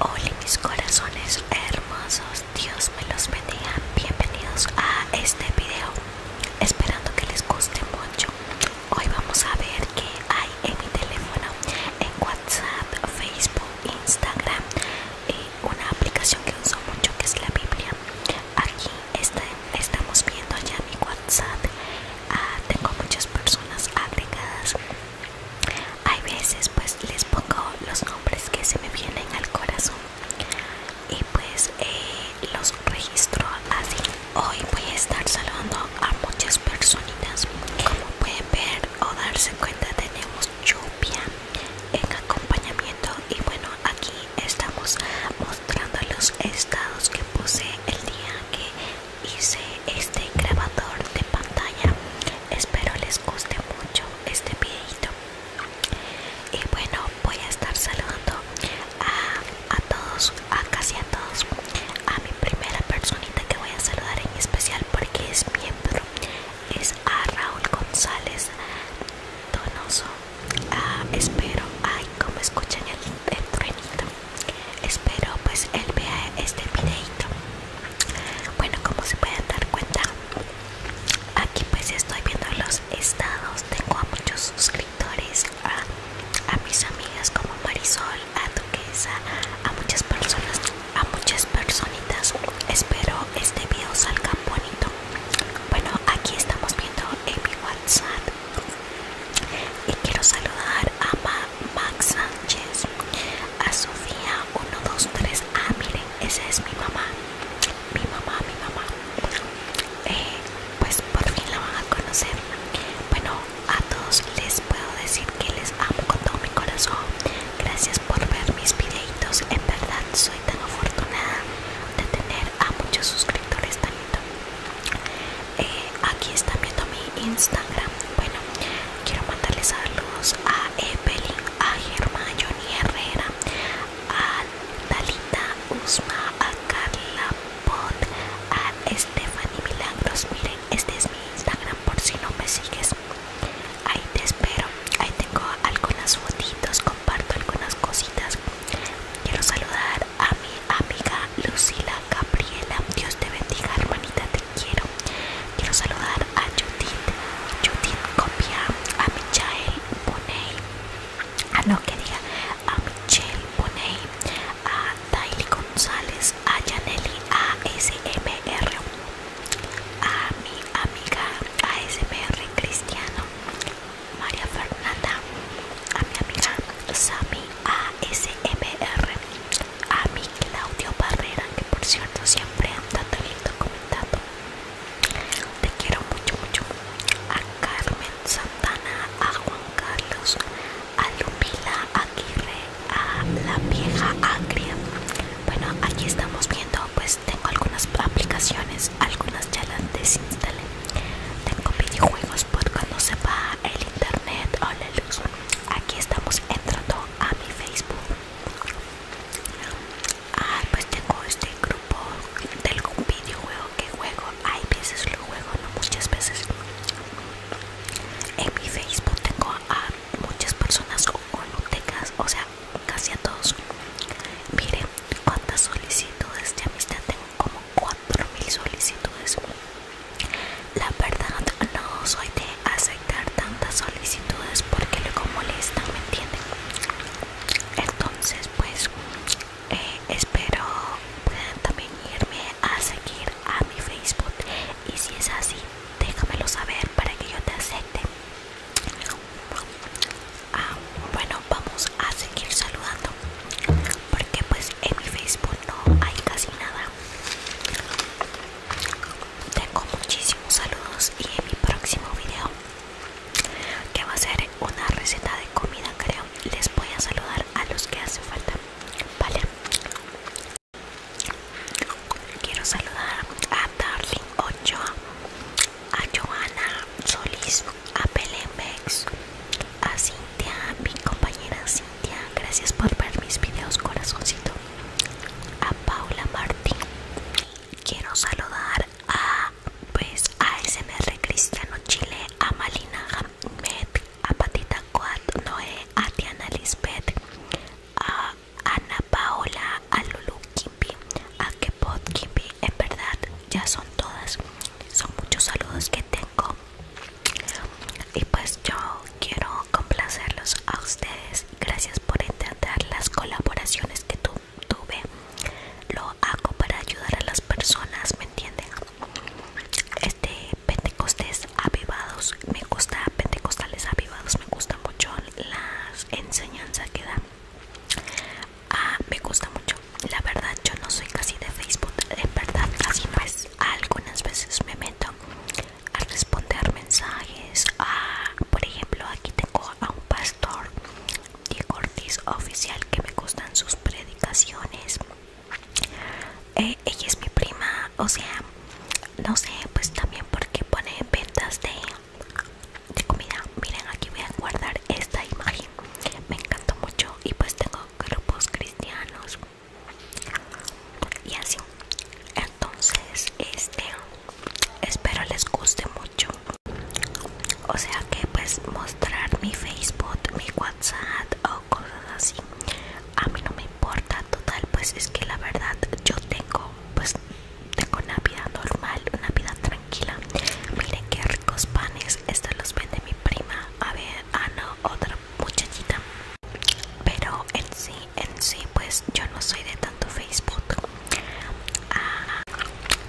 Hola mis corazones hermosos, Dios me los bendiga, bienvenidos a este video, esperando que les guste mucho. Hoy vamos a ver qué hay en mi teléfono, en WhatsApp, Facebook, Instagram y una aplicación que uso mucho que es la Biblia. Aquí estamos viendo ya mi WhatsApp, ah, tengo muchas personas agregadas hay veces pues les pongo los nombres que se me vienen al corazón y pues eh, los registro así. Hoy voy a estar saludando a muchas personitas. Como pueden ver o darse cuenta tenemos lluvia en acompañamiento y bueno aquí estamos mostrando los estados que puse el día que hice este grabador de pantalla espero les guste mucho este videito y bueno voy a estar saludando a, todos a casi a todos a mi primera personita que voy a saludar en especial porque es miembro es a Raúl González Donoso ah, espero ay como escuchan el, frenito espero pues él vea este videito bueno como se pueden dar cuenta aquí pues estoy viendo los estados tengo a muchos suscriptores a, a mis amigas como Marisol a Duquesa a muchas personas a muchas personitas espero este video salga bonito bueno aquí estamos viendo en mi whatsapp y quiero saludar a Max Sánchez, a Sofía 123. a ah, miren, esa es mi mamá, mi mamá, mi mamá. Eh, pues por fin la van a conocer. Bueno, a todos les puedo decir que les amo con todo mi corazón. Gracias por ver mis videitos. En verdad, soy tan afortunada de tener a muchos suscriptores lindos eh, aquí está viendo mi Instagram. Bueno, quiero mandarles saludos a Evelyn, a Johnny Herrera, a Dalita Usma, a Carla Pot, a Stephanie Milagros. Miren, este es mi Instagram por si no me sigues. Ahí te espero. Ahí tengo algunas fotitos, comparto algunas cositas. Quiero saludar a mi amiga Lucila Gabriela. Dios te bendiga, hermanita, te quiero. Quiero saludar a Judith, Judith Copia, a Michael Poney, a no quería a Michelle Poney, a Daily González, a Janelli ASMR, a mi amiga ASMR Cristiano, María Fernanda, a mi amiga Sami ASMR, a mi Claudio Barrera, que por cierto siempre anda bien comentado, Te quiero mucho, mucho. A Carmen Santana, a Juan Carlos, a Lupila Aguirre, a la vieja Agria. Bueno, aquí estamos viendo, pues tengo algunas aplicaciones, algunas ya las desinstalé tengo videojuegos por cuando se va el internet o la luz. Aquí estamos entrando a mi Facebook. Ah, pues tengo este grupo del videojuego que juego. Hay veces lo juego, no muchas veces. En mi Facebook tengo a muchas personas o o sea, casi a todos. Miren cuántas solicitudes de amistad tengo como 4.000 solicitudes. La verdad no soy de aceptar tantas solicitudes porque luego molestan ¿me entienden? Entonces pues eh, espero puedan también irme a seguir a mi Facebook y si es así déjamelo saber para que yo te acepte. Ah, bueno vamos a seguir saludando porque pues en mi facebook no hay casi nada tengo muchísimos saludos y en mi próximo video que va a ser una receta de comida creo les voy a saludar a los que hace falta vale quiero saludar a darling ochoa a johanna solis a Pelemex, a Cintia, mi compañera Cintia, gracias por ver mis videos corazoncito, a Paula Martín, quiero saludar a pues SMR Cristiano Chile, a Malina Hamed, a Patita Coat Noé, a Tiana Lisbeth, a Ana Paola, a Lulu Kimpi, a que pod Kimpi, en verdad ya son todas, son muchos saludos que tengo y pues yo quiero complacerlos a ustedes, gracias por entender las colaboraciones que tuve, lo hago para ayudar a las personas, ¿me entienden? Este Pentecostés avivados, me gusta Pentecostales avivados, me gusta mucho las enseñanzas que dan ah, me gusta mucho la verdad yo no soy casi de facebook de verdad casi pues algunas veces me meto a responder mensajes ah, por ejemplo aquí tengo a un pastor Diego Ortiz oficial que me gustan sus predicaciones eh, ella es mi prima o sea no sé pues también porque pone ventas de de comida miren aquí voy a guardar esta imagen me encantó mucho y pues tengo grupos cristianos y así entonces este espero les guste mucho o sea que pues mostrar mi facebook mi whatsapp o cosas así a mí no me importa total pues es que la verdad yo tengo pues tengo una vida normal, una vida tranquila. Miren qué ricos panes. Estos los vende mi prima. A ver, ah no, otra muchachita. Pero en sí, en sí, pues yo no soy de tanto Facebook. Ah,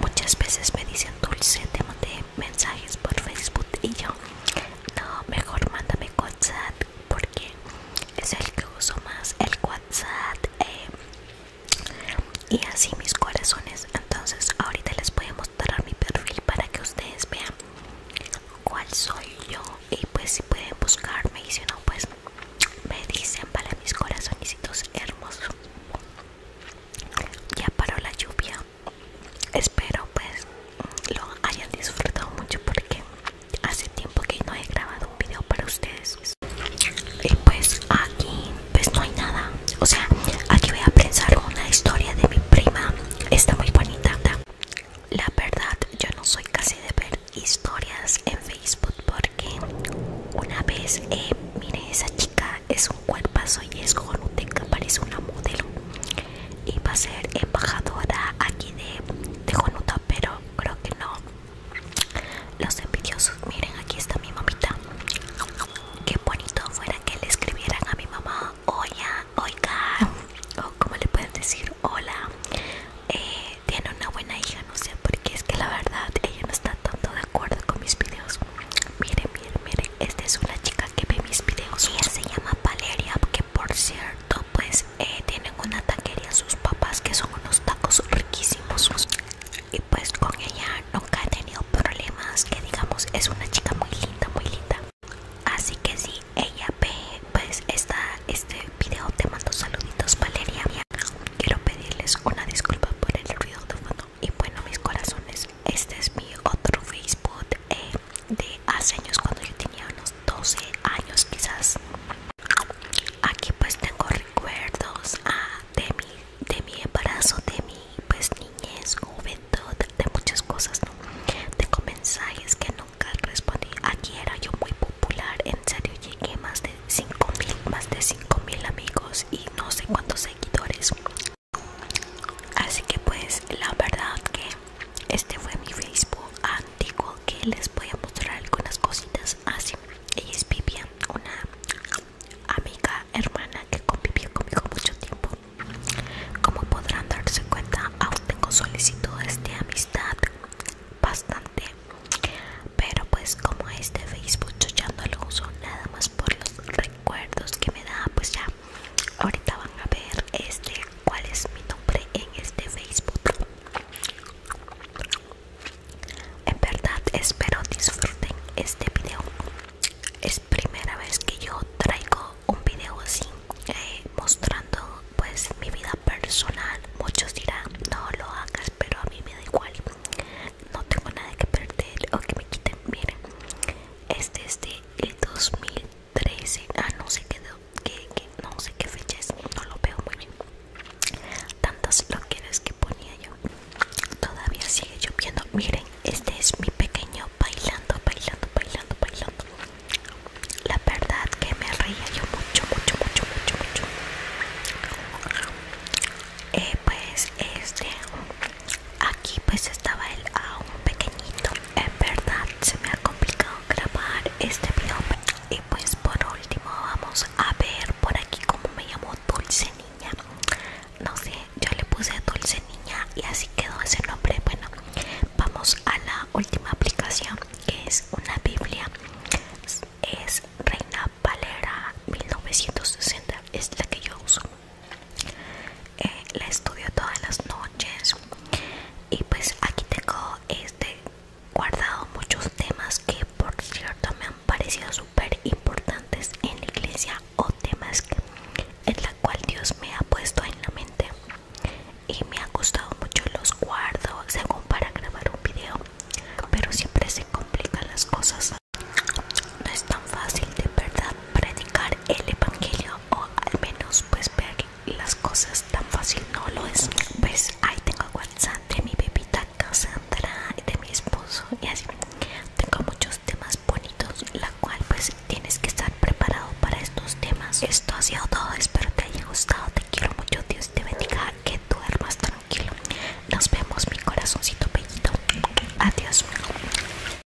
muchas veces me dicen dulce, te mandé mensajes por Facebook y yo, no, mejor mándame WhatsApp porque es el que uso más. El WhatsApp eh, y así mis corazones entonces ahorita les voy a mostrar mi perfil para que ustedes vean cuál soy yo y pues si pueden buscarme y si no pues me dicen para mis corazonicitos hermosos ya paró la lluvia espero pues lo hayan disfrutado mucho porque hace tiempo que no he grabado un video para ustedes y pues aquí pues no hay nada o sea aquí voy a pensar una historia de mi prima está muy bonita la verdad yo no soy casi de ver historias en facebook porque una vez eh, mire esa chica es un cuerpazo y es que parece una modelo y va a ser embajadora aquí de, de pero creo que no los envidiosos, miren, aquí está mi mamita. Qué bonito fuera que le escribieran a mi mamá, oiga, oiga, o como le pueden decir, hola, eh, tiene una buena hija, no sé, por qué es que la verdad ella no está tanto de acuerdo con mis videos. Miren, miren, miren, esta es una chica que ve mis videos. Ella se llama Valeria, que por cierto, pues eh, tienen una taquería sus papás que son unos tacos riquísimos y pues con ella nunca ha tenido problemas que digamos es una chica muy linda muy linda así que si ella ve pues está este video te mando saluditos Valeria quiero pedirles una disculpa por el ruido de fondo y bueno mis corazones este es mi otro Facebook eh, de hace años cuando yo tenía unos 12 años quizás aquí pues tengo recuerdos ah, de mi embarazo de mi pues niñez juventud de muchas cosas ¿no? tengo mensajes que nunca respondí aquí era yo muy popular en serio llegué más de mil, más de mil amigos y no sé cuántos seguidores así que pues la verdad que este fue mi Facebook antiguo que les voy a mostrar algunas cositas así ah, ella es Vivian una amiga hermana que convivió conmigo mucho tiempo como podrán darse cuenta aún tengo solicitudes de amistad bastante pero pues como este Facebook yo ya no lo uso nada más por los recuerdos que me da pues ya ahorita van a ver este cuál es mi nombre en este Facebook. En verdad espero disfruten este video. Es primera vez que yo traigo un video así eh, mostrando pues mi vida personal. Muchos dirán no lo hagas, pero a mí me da igual. No tengo nada que perder o que me quiten. Miren, este es de el 2000. 13 ah no sé qué no sé qué fecha es no lo veo muy bien tantas quieres que ponía yo todavía sigue lloviendo miren este es mi pequeño bailando bailando bailando bailando la verdad que me reía yo mucho mucho mucho mucho mucho eh, pues este aquí pues estaba el a ah, un pequeñito en verdad se me ha complicado grabar este video y pues por último vamos a ver por aquí cómo me llamó Dulce Niña no sé yo le puse Dulce Niña y así quedó ese nombre bueno vamos a la última aplicación que es una biblia es Reina Valera 1960 es la que yo uso eh, la estudio todas las noches y pues aquí tengo este guardado muchos temas que por cierto me han parecido súper importantes en la iglesia o temas en la cual Dios me ha puesto en la mente y me ha gustado mucho los guardo según para grabar un video pero siempre se complican las cosas no es tan fácil de verdad predicar el evangelio o al menos pues ver las cosas tan fácil no lo es pues ahí tengo whatsapp de mi bebita Cassandra de mi esposo y así tengo muchos temas bonitos la cual pues tienes que estar preparado para estos temas esto ha sido todo espero te haya gustado te quiero mucho Dios te bendiga que duermas tranquilo nos vemos mi corazoncito bellito adiós